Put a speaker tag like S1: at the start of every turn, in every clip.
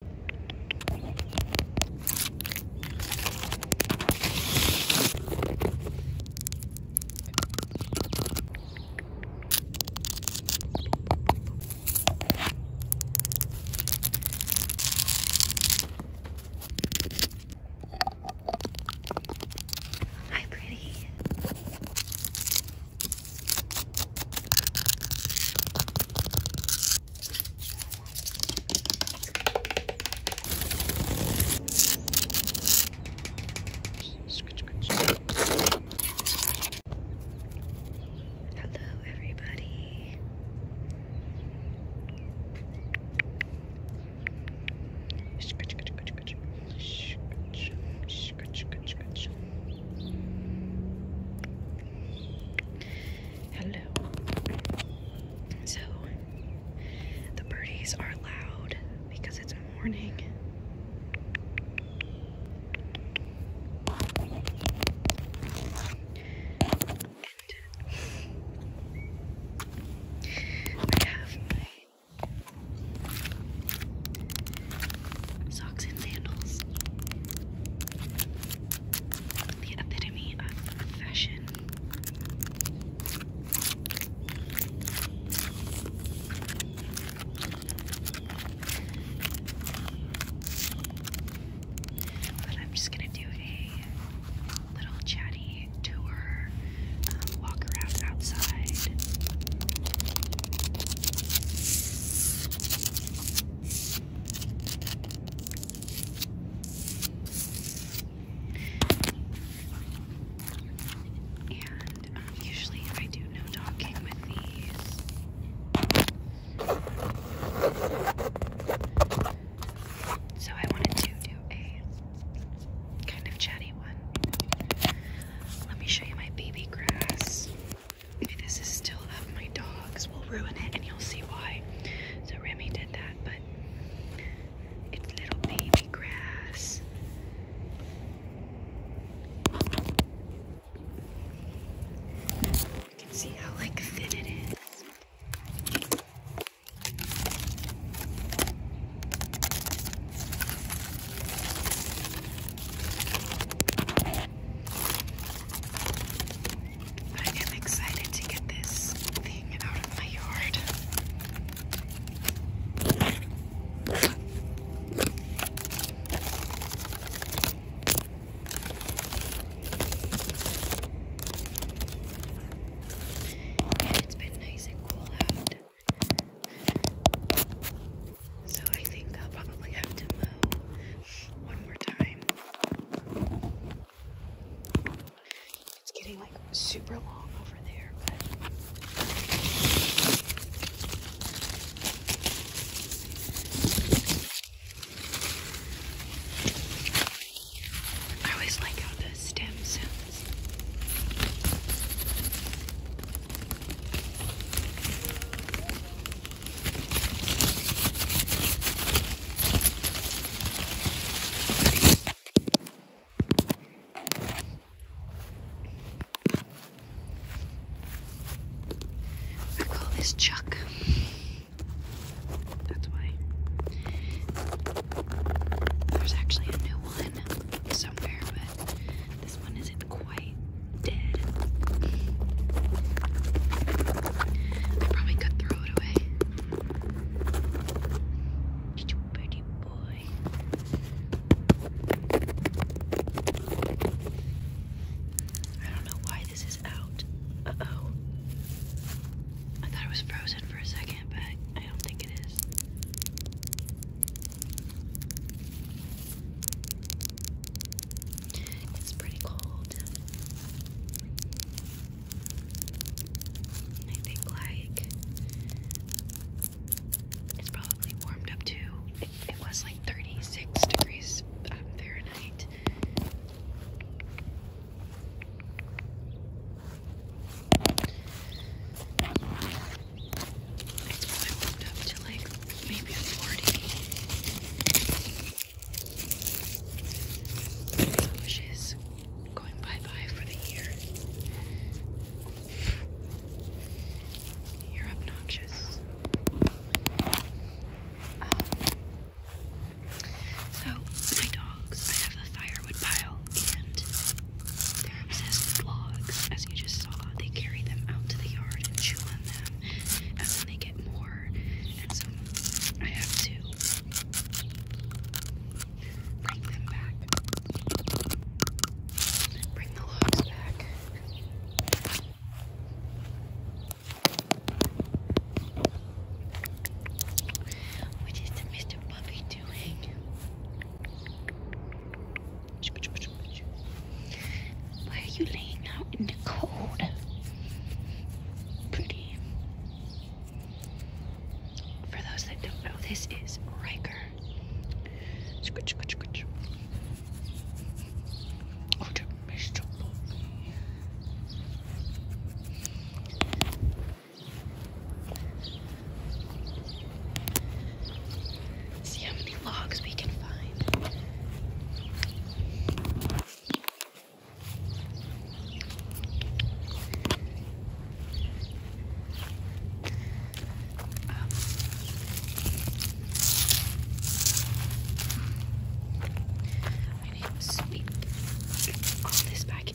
S1: Hi, pretty. Hello, everybody. Scratch, scratch, scratch, scratch, scratch, scratch, scratch. Hello. So, the birdies are loud because it's morning. I have my socks and sandals the epitome of fashion. But I'm just gonna do a little chatty tour, um, walk around outside. And um, usually I do no talking with these. So I wanted to do a kind of chatty one. Let me show you my baby grass this is still up, my dogs will ruin it and you'll see why. So Remy did that, but it's little baby grass. You can see how like thin it is. I am excited to get this thing out of my yard. And it's been nice and cool out. So I think I'll probably have to mow one more time. It's getting like super long over there, but I always like how the stem I call this Chuck. That's why. There's actually a new one somewhere, this one isn't quite dead. I probably could throw it away. Pretty boy. I don't know why this is out. Uh oh. I thought it was frozen for a second, but I don't think it is. It's pretty cold. I think like it's probably warmed up too. It, was like 36 degrees Fahrenheit. It's probably bumped up to like maybe 40. Which is going bye bye for the year. You're um, obnoxious. so, my dogs, I have a firewood pile and they're obsessed with logs, as you just saw. They carry them out to the yard and chew on them, and then they get more. And so I have to bring them back. Bring the logs back. What is the Mr. Puppy doing? Why are you laying out in the cold? Pretty. For those that don't know, this is Riker. Oh, Mr. See how many logs we can find. Um, I need to sweep this back in.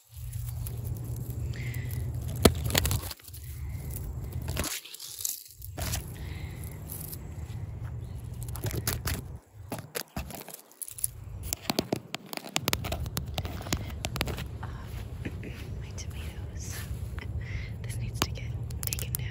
S1: Uh, my tomatoes. this needs to get taken down.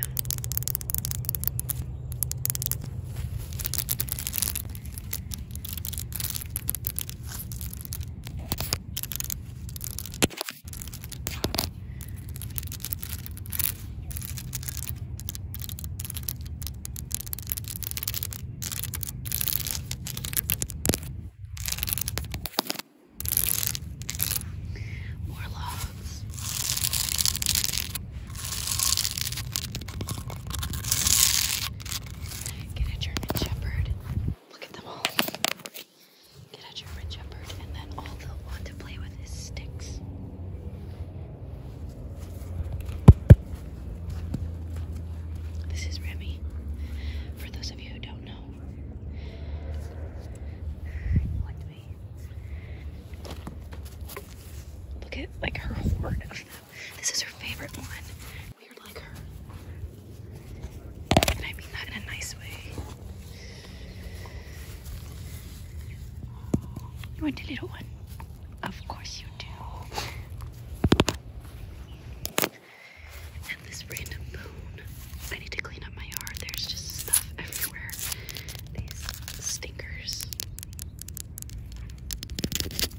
S1: More logs. Get a German Shepherd. Look at them all. Get a German Shepherd, and then all they'll want to play with is sticks. This is Remy. For those of you who don't know, Look at like her horde of this is her favorite one. Weird like her. I mean that in a nice way. You want a little one? Of course you do. And this random bone. I need to clean up my yard. There's just stuff everywhere. These stinkers.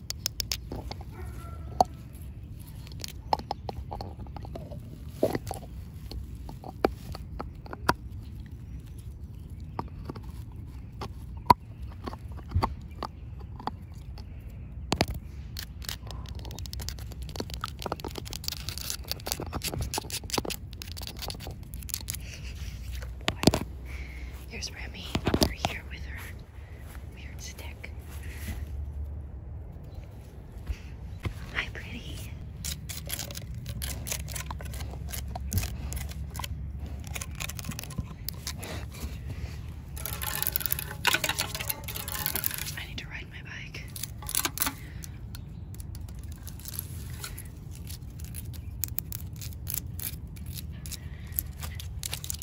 S1: Boy. Here's Remy over here with her Weird stick. Hi, pretty. I need to ride my bike.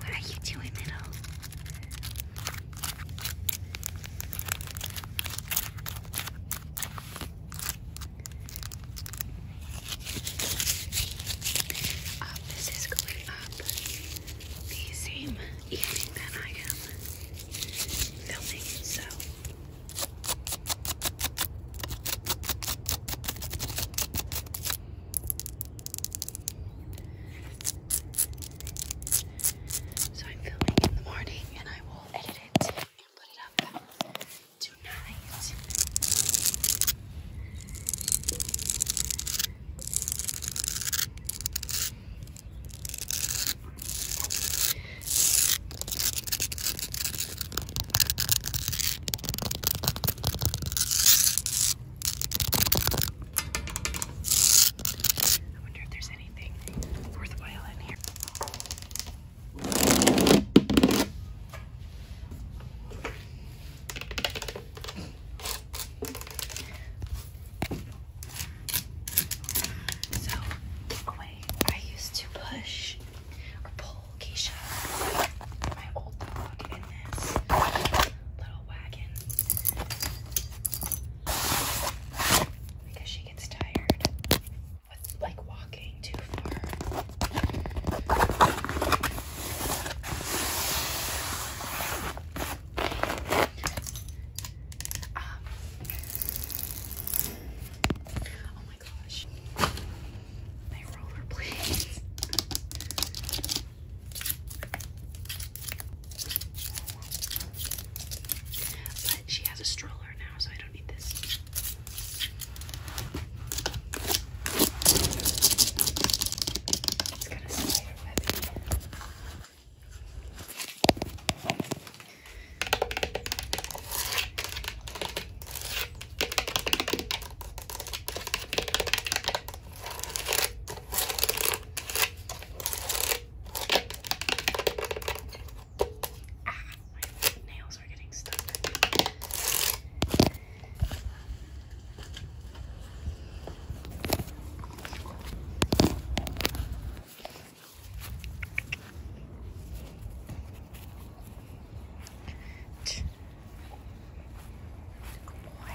S1: What are you doing, little? Um, this is going up the same evening that I am filming, so so I'm filming in the morning and I will edit it and put it up tonight. I wonder if there's there's anything worthwhile in here. So, away, I used to push or pull Keisha, my old dog, in this little wagon because she gets tired with like walking too far. Um, oh my gosh. My roller but she has a stroller now, so I don't need this. Ah, my nails are getting stuck. Good boy.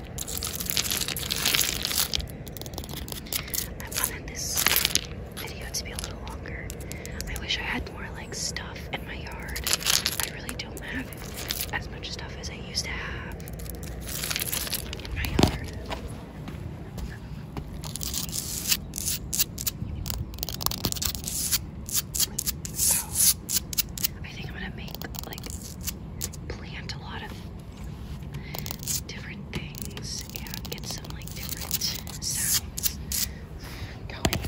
S1: I wanted this video to be a little longer. I wish I had more like stuff in my yard. I really don't have as much stuff as I used to have in my yard. I think I'm gonna make like plant a lot of different things and get some like different sounds going.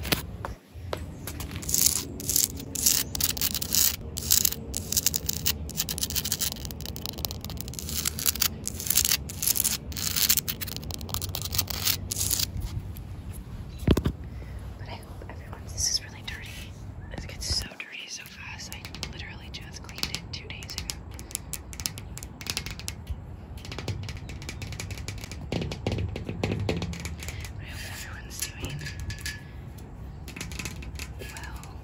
S1: But I hope everyone, this is really dirty. It gets so dirty so fast. I literally just cleaned it two days ago. I hope everyone's doing well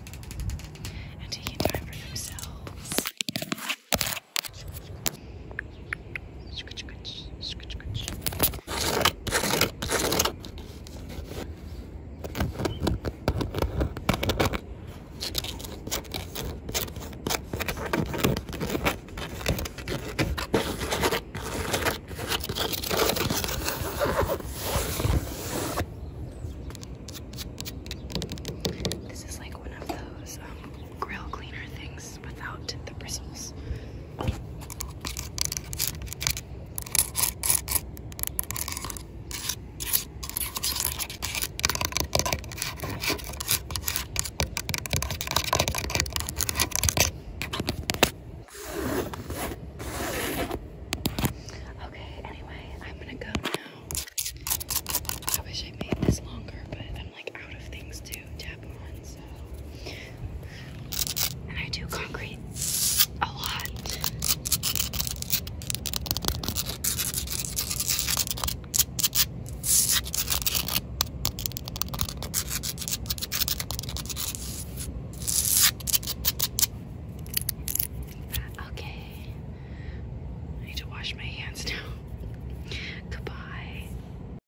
S1: and taking time for themselves. This is like one of those um, grill cleaner things without the bristles. Okay, anyway, I'm gonna go now. I wish I made this longer, but like out of things to tap on, so and I do concrete a lot. Okay. I need to wash my hands now. Goodbye.